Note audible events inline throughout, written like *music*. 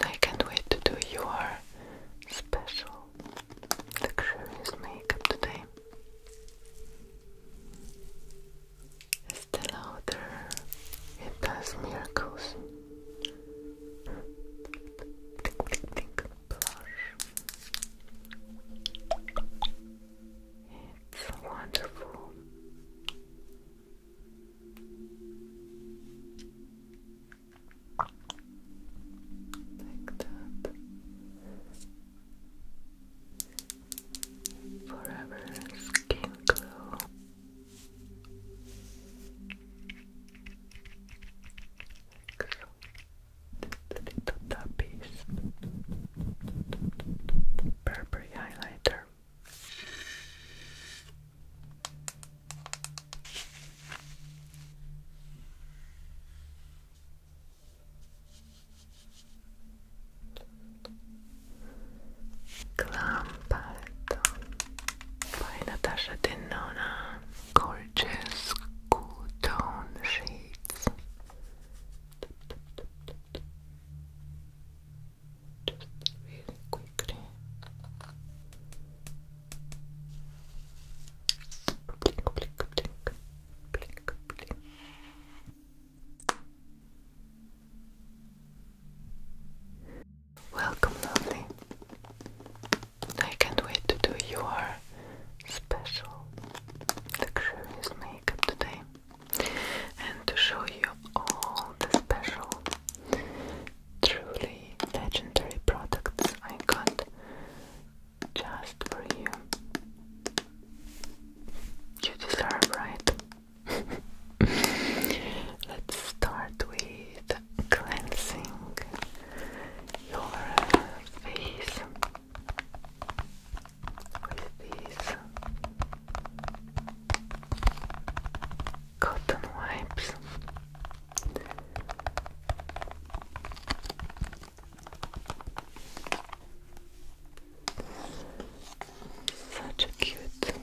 I can't wait to do your special luxurious makeup today. Estee Lauder, it does miracles. Think, think, blush. It's wonderful. Like that. Forever skin glow. Like The little tap Burberry highlighter Clampetto by Natasha Denona. Gorgeous cool tone shades just really quickly. Blink, blink, blink, blink, blink. Welcome, lovely. I can't wait to do your special luxurious makeup today and to show you all the special truly legendary products I got just for you. You deserve, right? *laughs* Let's start with cleansing your face with these cotton wipes. Such a cute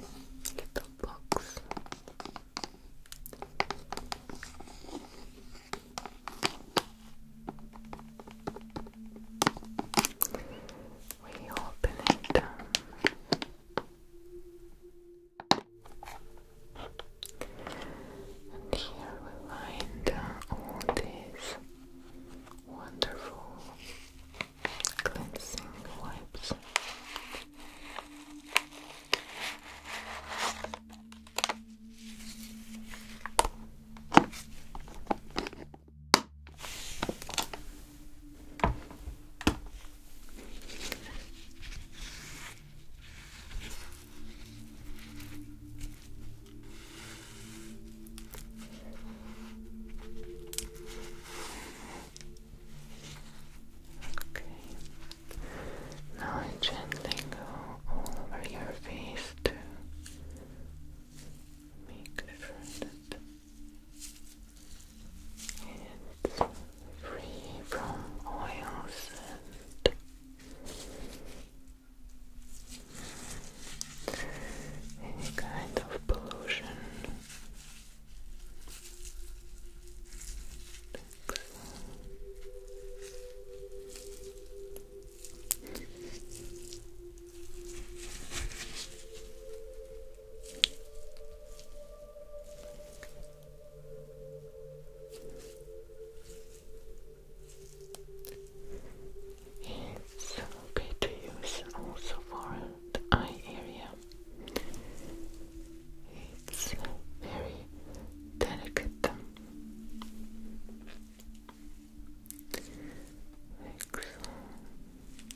little box. We open it. And here we find uh, all these wonderful cleansing wipes. Okay. Now I gently go all over your face to make sure that it's free from oils and any kind of pollution. It's okay to use also for the eye area. It's very delicate.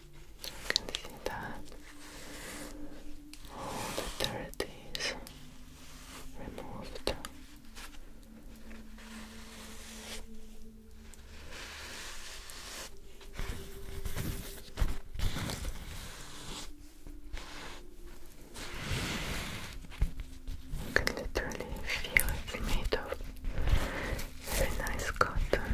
You can see that all the dirt is removed. can literally feel it's made of very nice cotton.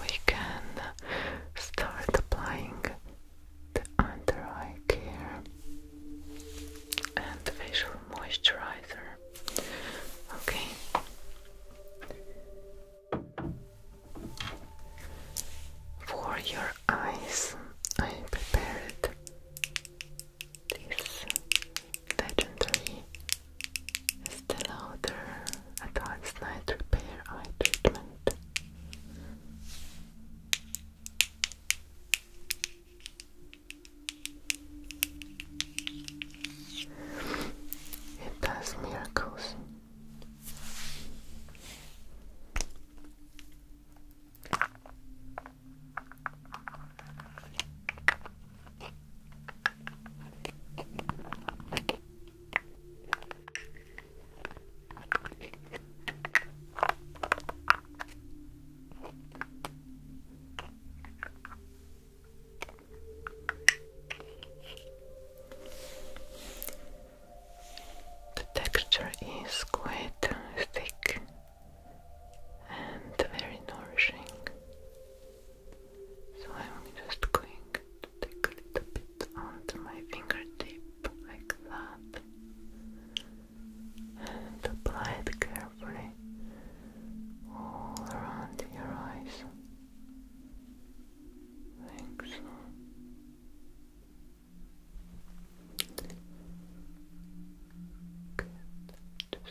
we can start applying the under eye care and facial moisturizer. Okay. For your eyes, I prepared this legendary Estée Lauder Advanced Night Repair Eye Treatment. It does miracles. The texture is quite thick and very nourishing. So I'm just going to take a little bit onto my fingertip like that and apply it carefully all around your eyes. Like Good.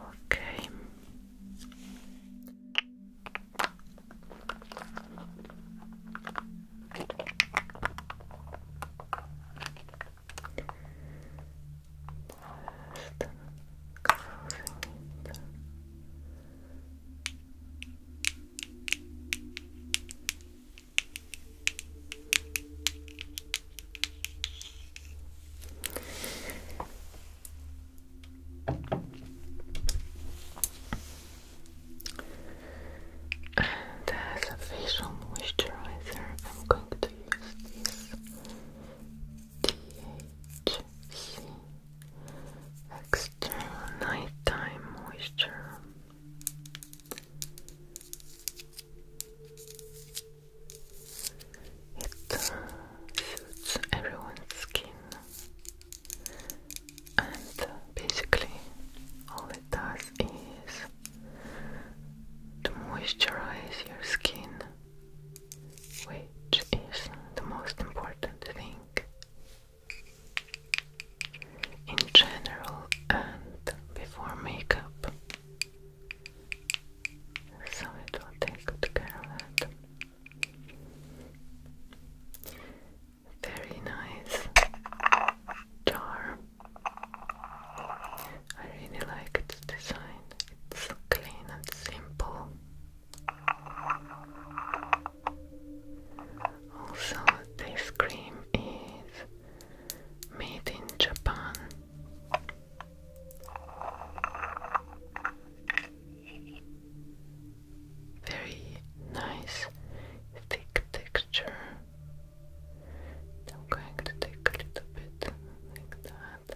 Okay. Just closing it. And as a facial moisturizer, I'm going to use this DHC External nighttime moisture. It uh, suits everyone's skin, and uh, basically, all it does is to moisturize your skin, which is the most important thing in general and before makeup. So it will take good care of that. Very nice jar. I really like its design. It's clean and simple. Also, this cream is made in Japan. Very nice, thick texture. I'm going to take a little bit like that.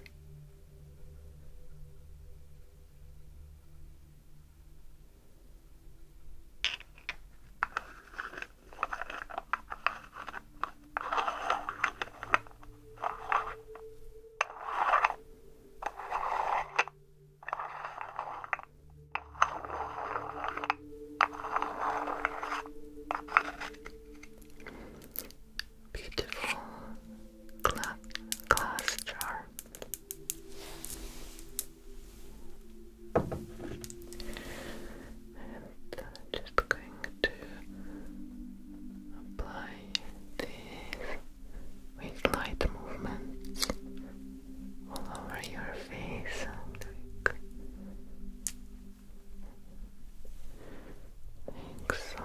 Beautiful glass jar. And I'm just going to apply this with light movements all over your face. Like like so.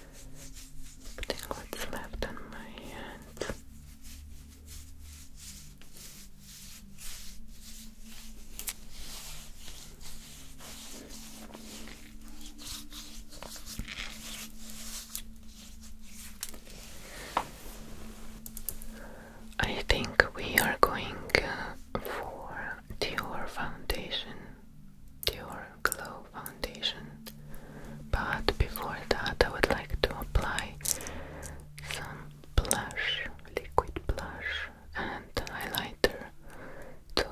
Putting what's left on my hand. I think we are going uh, for Dior foundation, Dior Glow Foundation. But before that, I would like to apply some blush, liquid blush, and highlighter to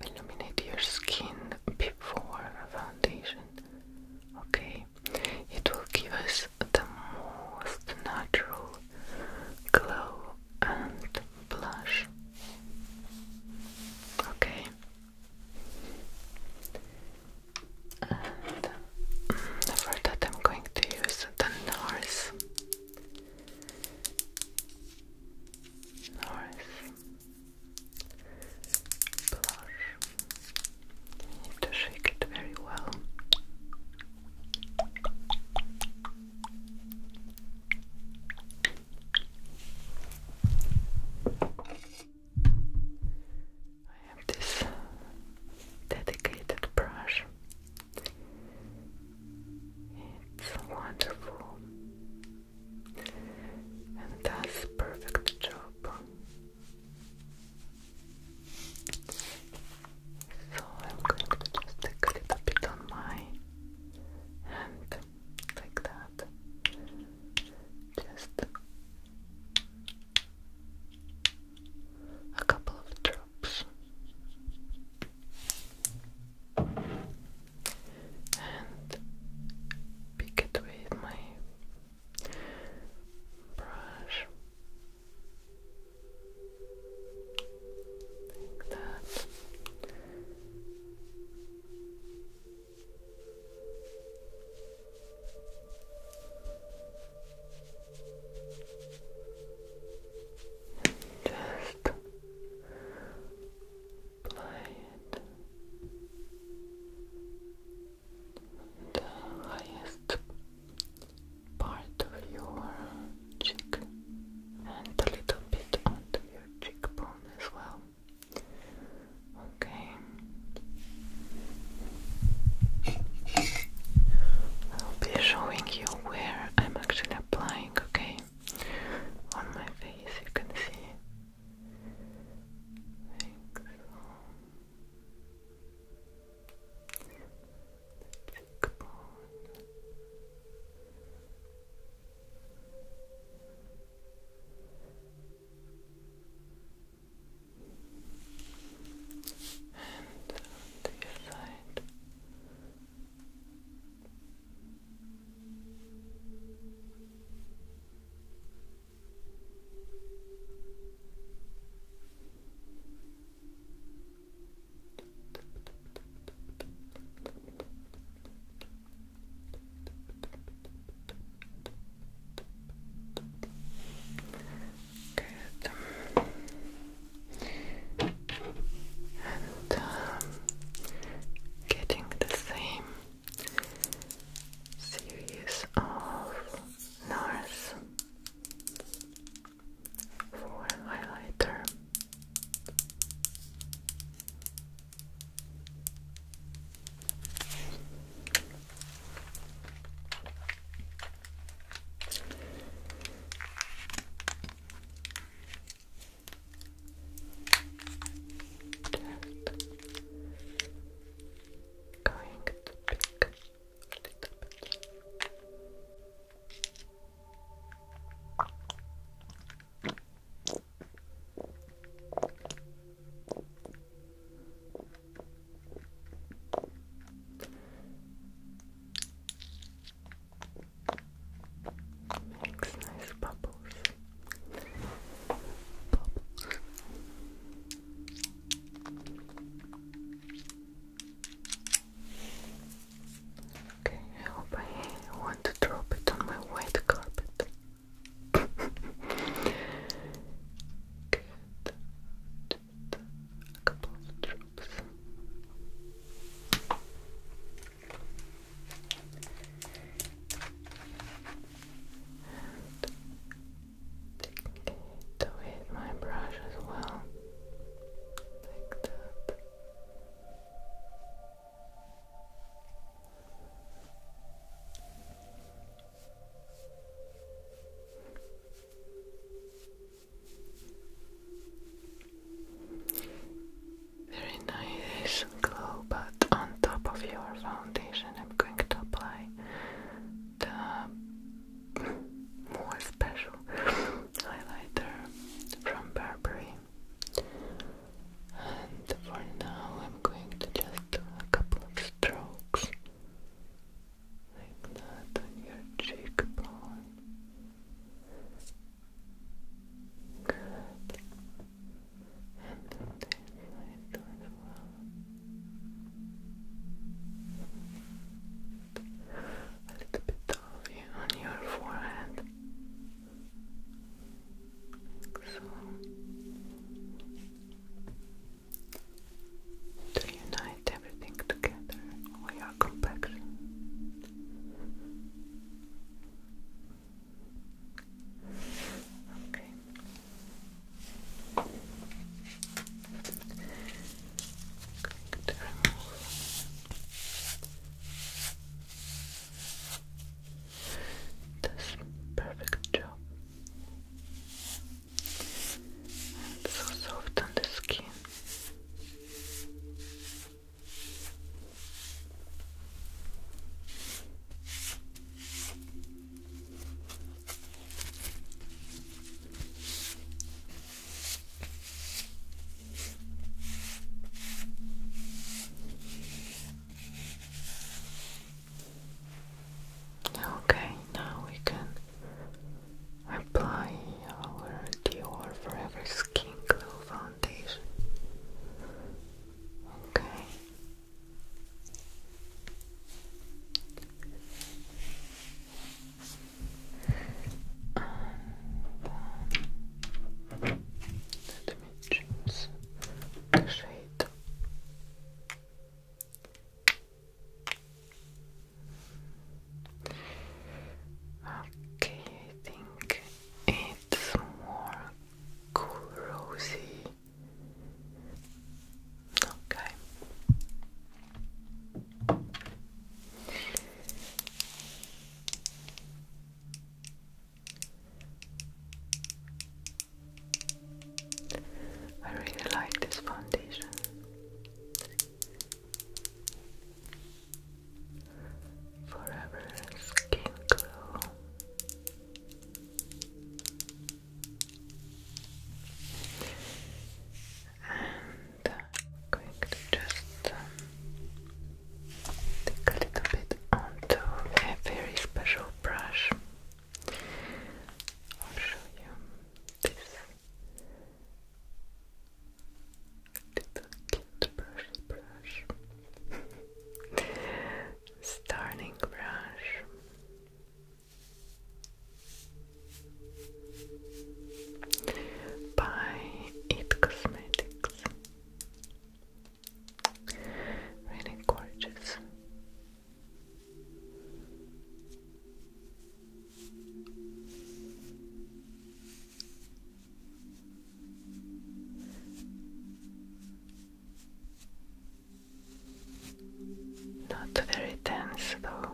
illuminate your skin before foundation. Okay, it will give us the most natural glow and blush. Okay, and um, for that, I'm going to use the North. North blush. need to shake it very well. I have this dedicated brush. It's wonderful and does perfect job. So I'm going to just take a bit on my hand like that. Just a couple of drops. And pick it with my brush like that just apply it the highest part of your cheek and a little bit onto your cheekbone as well. Okay. I'll be showing you where I'm actually applying, okay? On my face, you can see. And on the other side. And um, getting the same series of NARS for highlighter. Going to pick a little bit. Makes nice bubbles. Okay, I hope I want to drop it on my white carpet. Good. Just a couple of drops. And taking my brush as well. Like that. Very nice glow, but on top of your foundation, I'm going to apply the more special highlighter from Burberry. And for now, I'm going to just do a couple of strokes like that on your cheekbone. Good. And on A little bit of you on your forehead so to unite everything together or your complexion okay this perfect job. so soft on the skin. Okay, now we can apply our Dior Forever Skin Glow Foundation. Okay. Um, dimensions, Okay, I think it's more cool rosy. Okay. I really like this foundation. Forever Skin Glow. And going to just um, Take a little bit onto a very special brush. I'll show you this little cute brush brush. *laughs* Starting brush. By It Cosmetics. Really gorgeous. Not very dense though.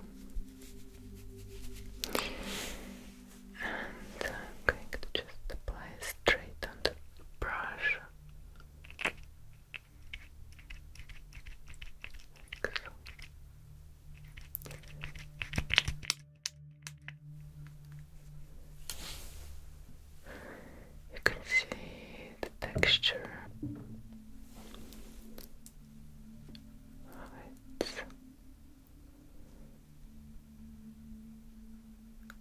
And I'm going to just apply straight on brush. You can see the texture of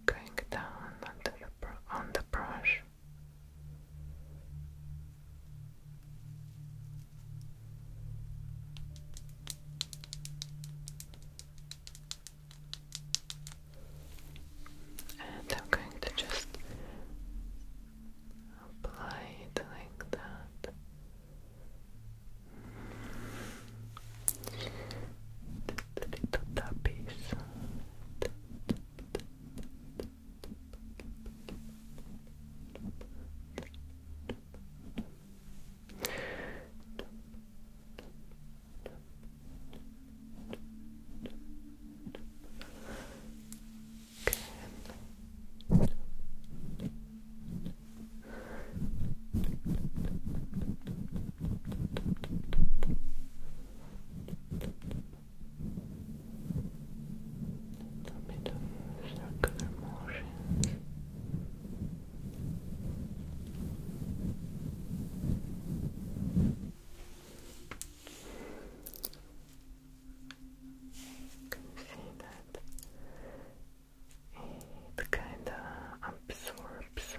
going down on the brush. And I'm going to just apply it like that little tappies little bit of circular motions you see that it kind of absorbs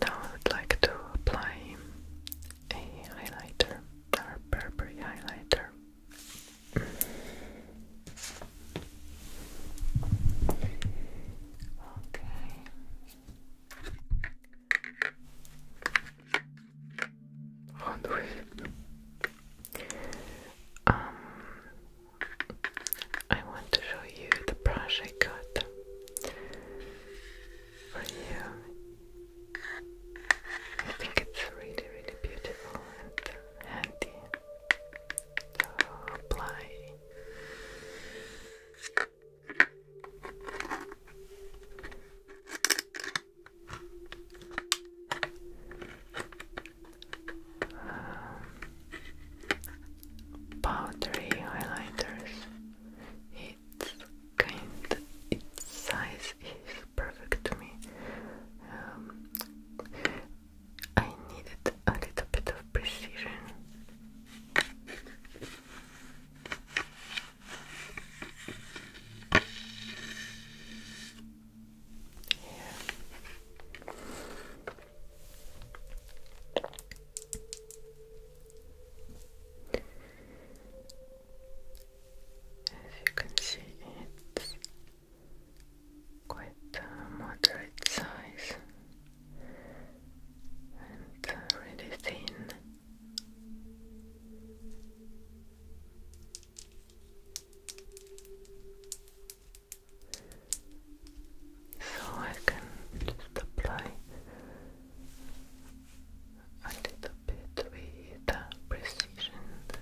Now I would like to apply a highlighter, our Burberry highlighter. Okay. Front Um I want to show you the brush I got for you. I think it's really, really beautiful and handy. So apply. Um, powdery highlighters it's kind. Its size is perfect to me. Um, I needed a little bit of precision. As you can see, it's quite a moderate size and uh, really thin so I can just apply a little bit with precision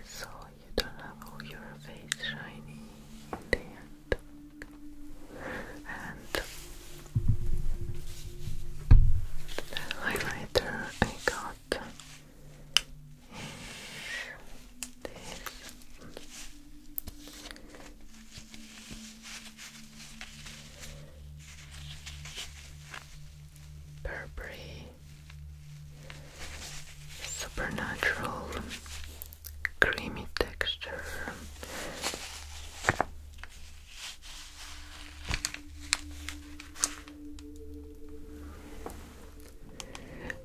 so you don't have all your face shiny in the end. And the highlighter I got is Burberry Supernatural Creamy Texture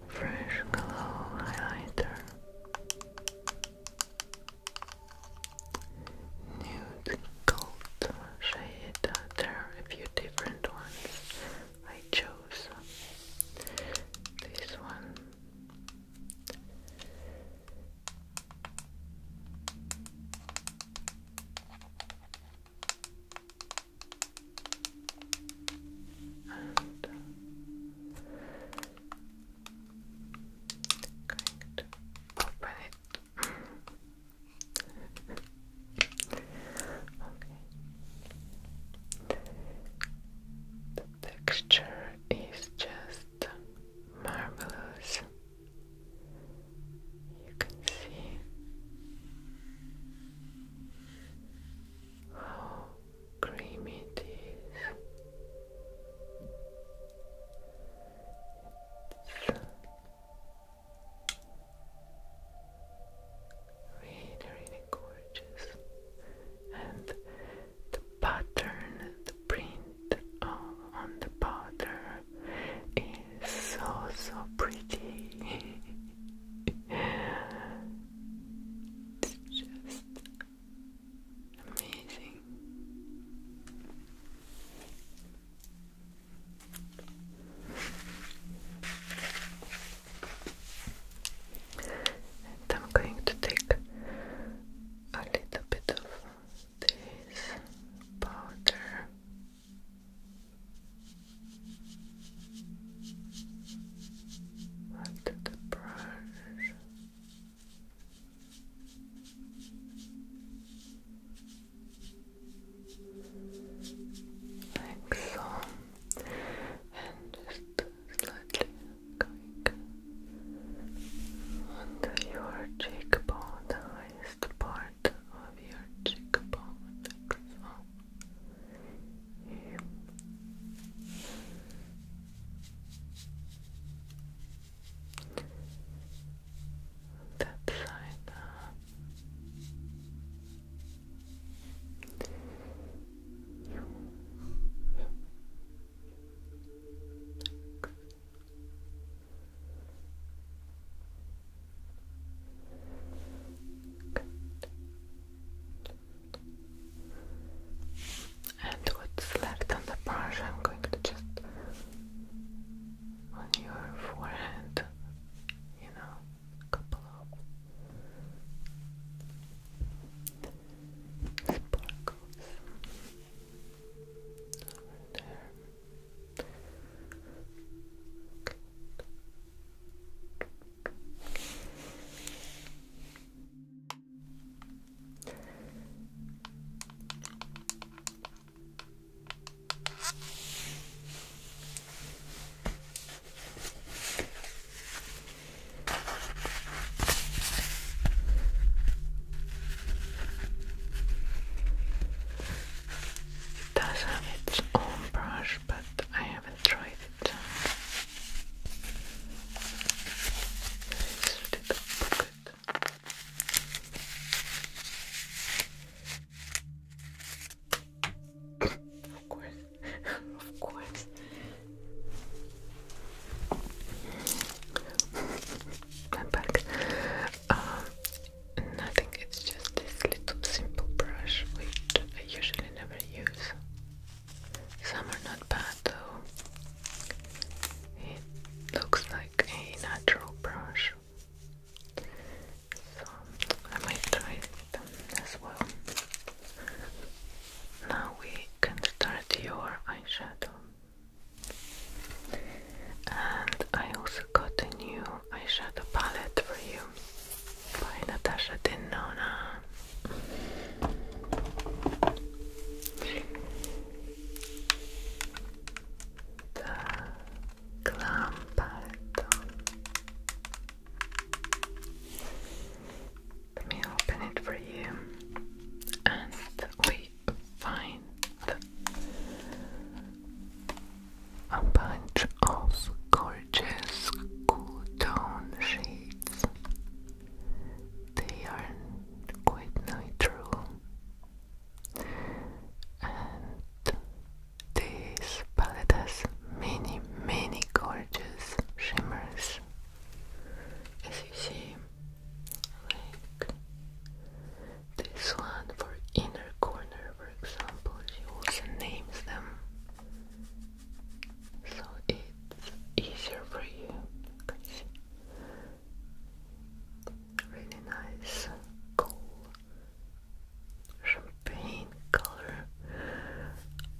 Fresh Glow Highlighter nude gold shade. There are a few different ones. I chose this one open it. The texture is just marvelous. You can see how creamy it is really, really gorgeous. And the pattern, the print on the powder is so, so pretty. *laughs* it's just Amazing. I'm going to take a little bit of this powder. Onto the brush. Like so, and just slightly going onto your cheekbone, the highest part of your cheekbone, like that side uh, and what's left on the brush I'm going to just on your forehead, you know, couple of sparkles over there. It does have its own brush, but I haven't tried it. This is the pocket of course, *laughs* of course. I'm uh, nothing. It's just this little simple brush which I usually never use. Some are not bad, that It looks like a natural brush. So I might try them as well. Now we can start your eyeshadow. And I also got a new eyeshadow palette for you by Natasha Denona the Glamparton. Let me open it for you, and we find a bunch of gorgeous cool tone shades. They are quite neutral and this palette has many many gorgeous shimmers as you see like this one for inner corner for example she also names them so it's easier for you really nice cool champagne color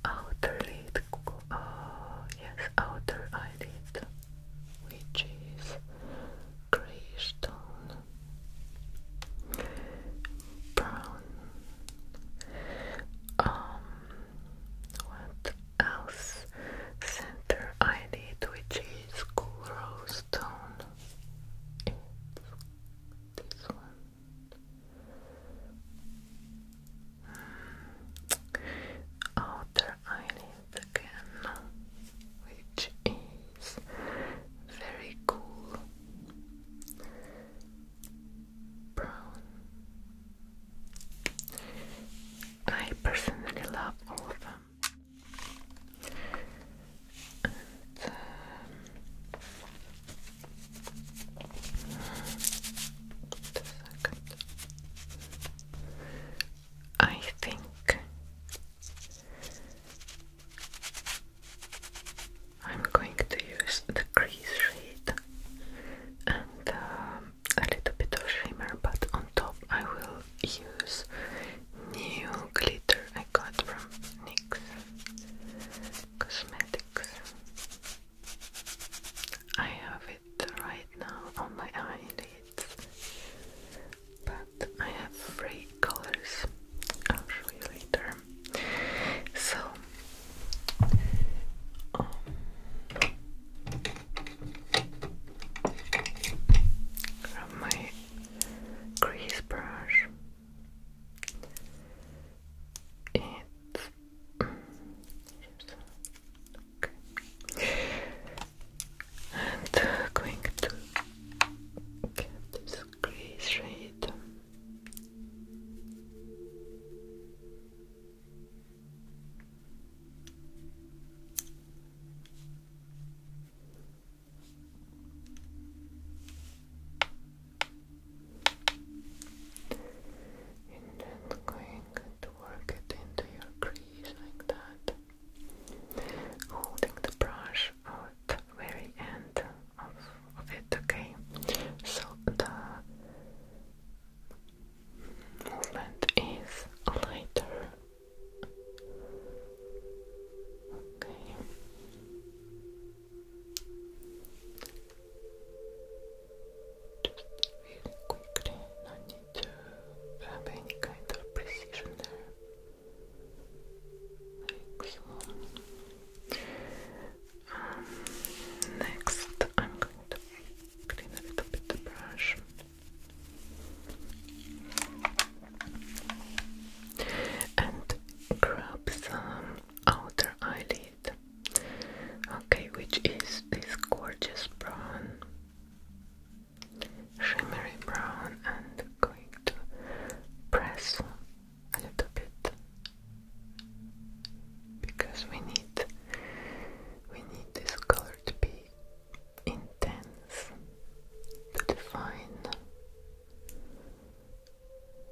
outer lid uh, yes outer eyelid which is grayish tone brown um what else center eyelid which is coral stone it's this one hmm. outer eyelid again which is very cool brown I personally love all of them. And, um, I think I'm going to use the crease shade and um, a little bit of shimmer, but on top I will use new glitter I got from NYX Cosmetics. I have it right now on my eyelids, but I have three colors. I'll show you later. So, um, from my crease brush. It's okay. And uh, going to get this crease shade. And then going to work it into your crease like that, holding the brush at the very end of, it, okay? So the movement is lighter. Okay. really quickly, no need to have any kind of precision there. next, um, I'm going to clean a little bit the brush and grab some outer eyelid. Okay, which is this gorgeous brown, shimmery brown, and going to press a little bit because we need we need this color to be intense to define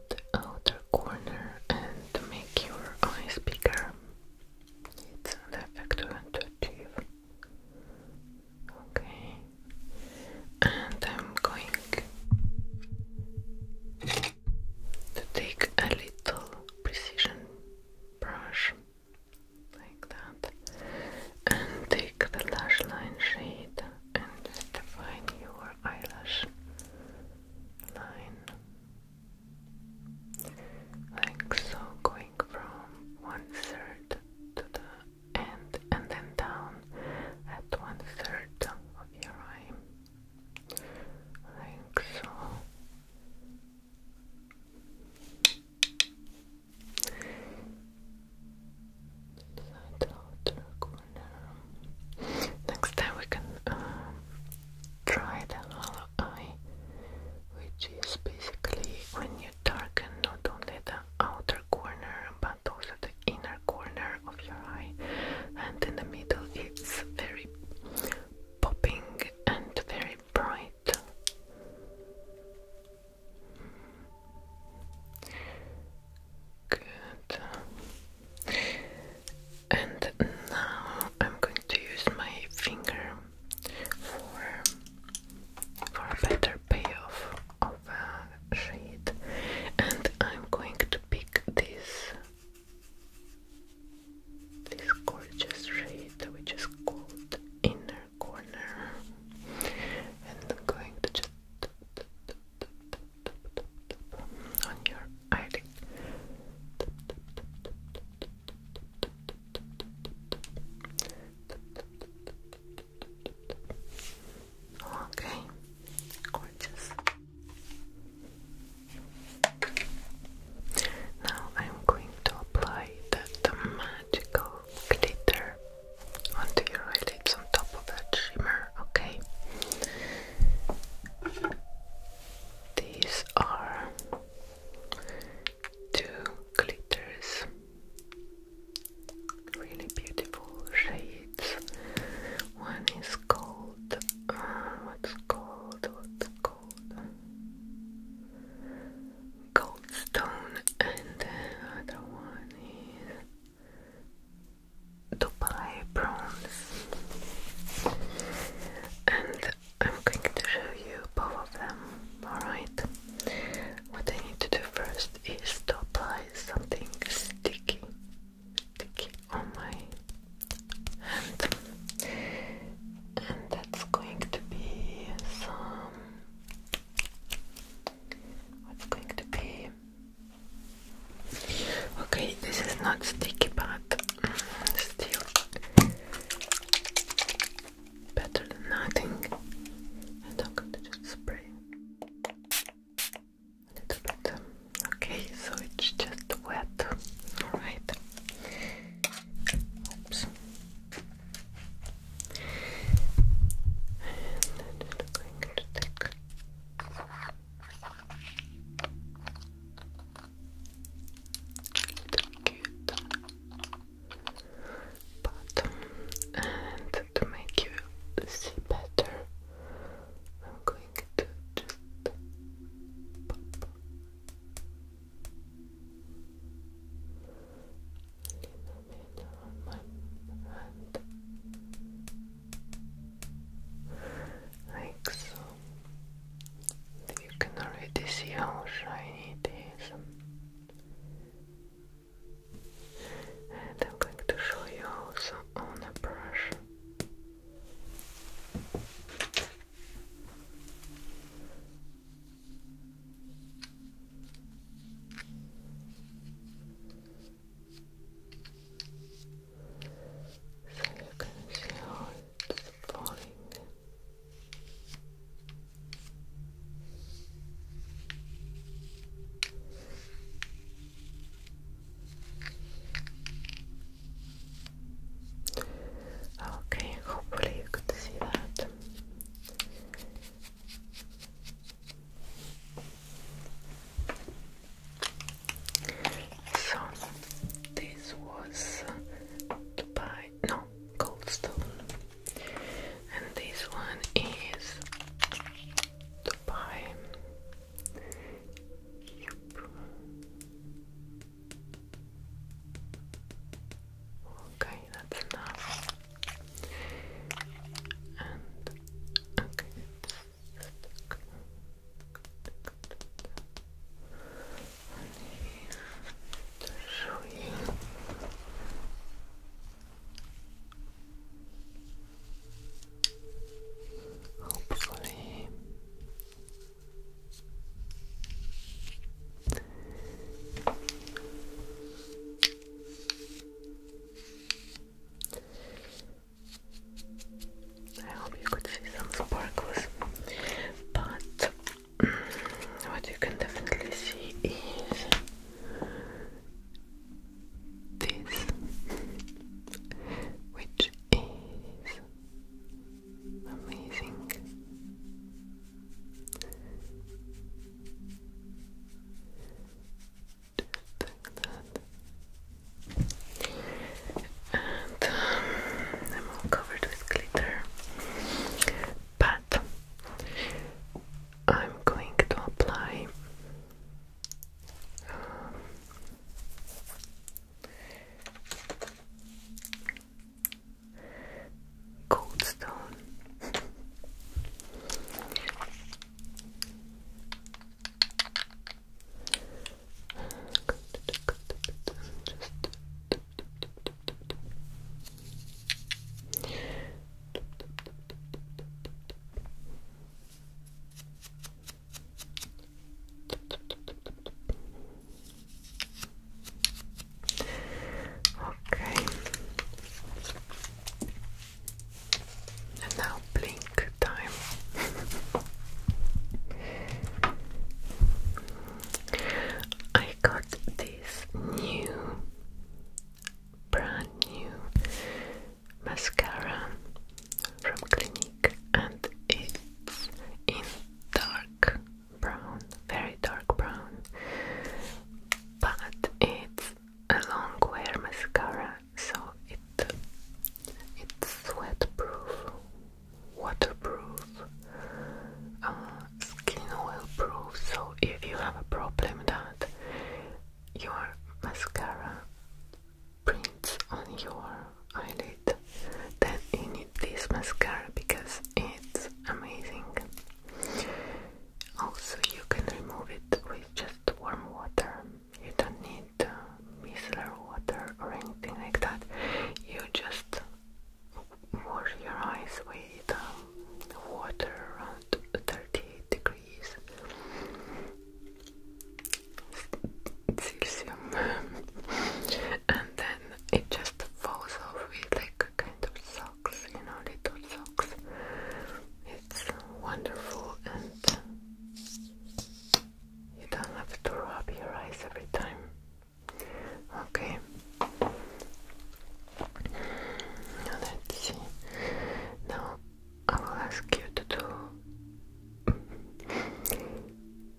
the outer corner and to make your eyes bigger. It's an effect you want to achieve. Okay, and I'm going to take a little precision brush like that, and take the lash line shade and define your eyelash line like so, going from one third to the end and then down at one third of your eye, like so. Inside outer corner. Next time we can uh, try the hollow eye, which is basically when you darken not only the outer corner but also the inner corner of your eye, and in the middle it's very popping and very very bright. Good. And now I'm going to use my finger for for better payoff of a shade, and I'm going to pick this this gorgeous shade we just called Inner Corner and I'm going to just on your eyelid Okay, gorgeous. Now I'm going to apply that magical glitter onto your eyelids on top of that shimmer, okay? These are two glitters, really beautiful shades. One is called, uh, what's called, what's called? gold, stone, and the other one is Dubai bronze. And I'm going to show you both of them. Alright. What I need to do first is to apply something sticky, sticky on my and that's going to be some what's going to be okay this is not sticky but mm, still better than nothing and I'm going to just spray a little bit. Okay, so it's just wet. Alright. Oops. And then going to take the bottom and to make you see better I'm going to just on my hand like so you can already see how shiny it is and I'm going to show you also on a brush so you can see it's falling. Okay, hopefully you could see that. So, this was Dubai, no, Goldstone, and this one is Dubai. Yep. Okay, that's enough. And okay, Hopefully, I hope you could see some sparkles, but *clears throat* what you can definitely see is this, which is Amazing. And um, i all covered with glitter. But I'm going to apply um, cold stone. Okay. now blink time. *laughs* I got this new, brand new mascara from Clinique, and it's in dark brown, very dark brown. But it's a long wear mascara, so it it's sweatproof, waterproof, uh, skin oil proof. So if you have a problem that your mascara prints on your eyelid then you need this mascara because it's amazing also you can remove it with just warm water you don't need uh, micellar water or anything like that you just wash your eyes with um, water around thirty degrees Celsius *laughs* and then it just falls off with like kind of socks, you know, little socks. It's wonderful and you don't have to rub your eyes every time. Okay. let's see. Now I will ask you to do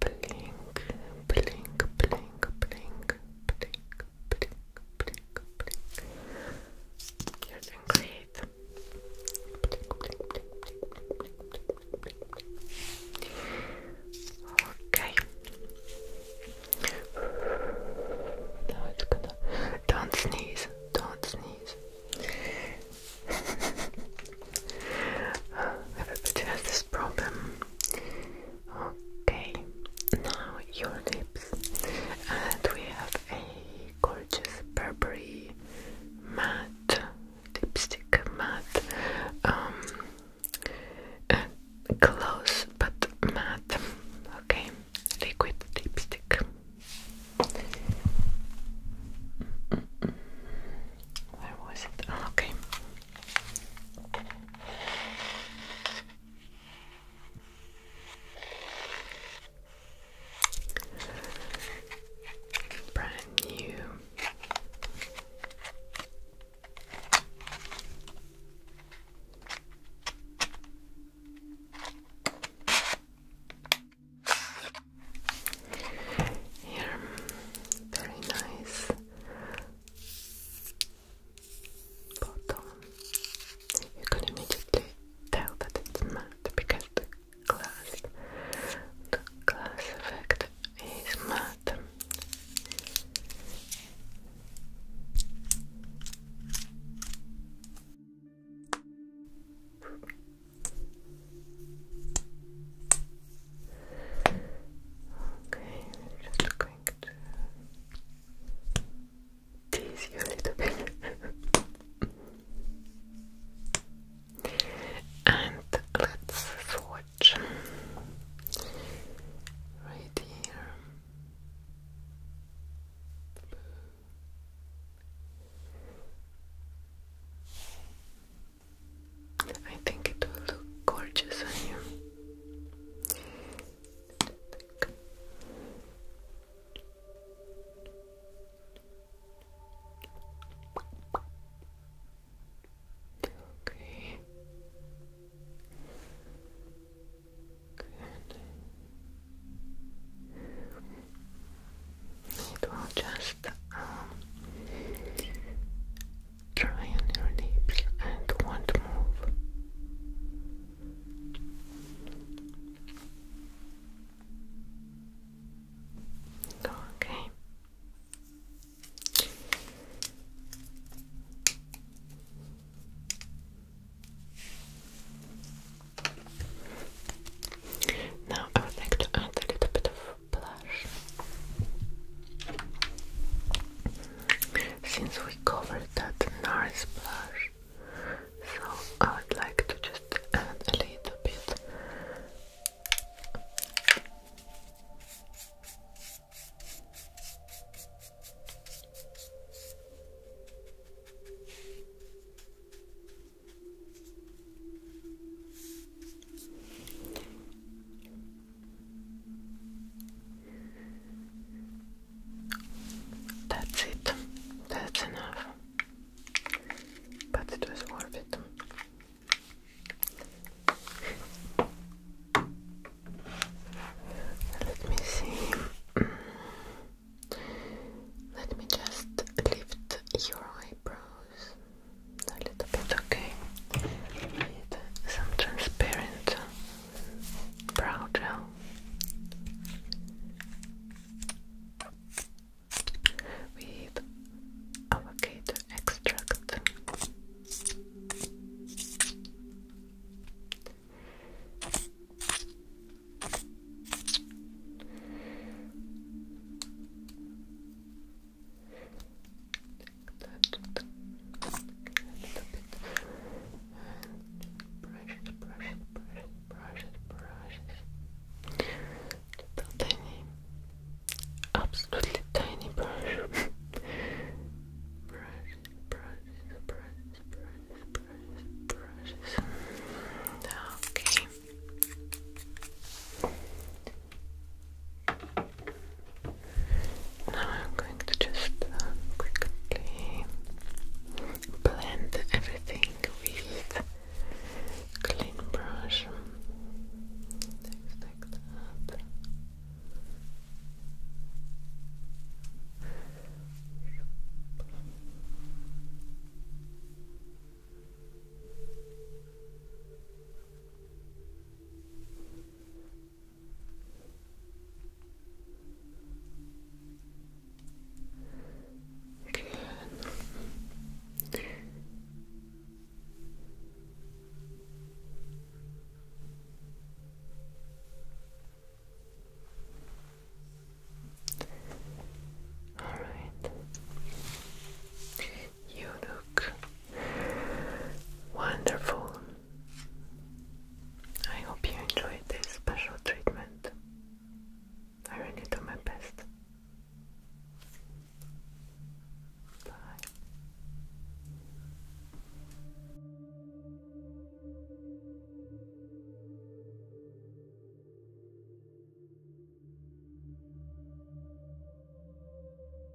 blink, blink, blink, blink, blink, blink, blink, blink. You're doing great. Blink, blink, blink, blink, blink, blink, blink, blink. Okay. Now it's gonna. Don't sneeze. Don't sneeze. *laughs* Everybody has this problem. Okay, now your lips, and we have a gorgeous Burberry matte lipstick, matte, um, close uh, but matte, okay, liquid lipstick. Where was it? Ah, okay, Brand new. very nice bottom. You can immediately tell that it's matte because the glass, the glass effect is matte. Okay, I'm just going to tease you a little bit. and let's swatch right here. I think it will look gorgeous on you. Okay. Good. It will just um, Try on your lips and won't move. Okay. Now I would like to add a little bit of blush. Since we covered that nice blush, so I would like to just add a little bit. That's it. That's enough. But it was worth it. Let me see. Let me just lift your eyebrows a little bit, okay? Need some transparent brow gel. With avocado extract brushes, brushes, brushes, brushes. Little tiny, absolutely tiny brush. brushes, brushes, brushes, brushes, brushes, brushes. Okay. Now I'm going to just uh, quickly blend everything with clean brush. like that. Good. All right. You look wonderful. I hope you enjoyed this special treatment. I really do my best. Bye.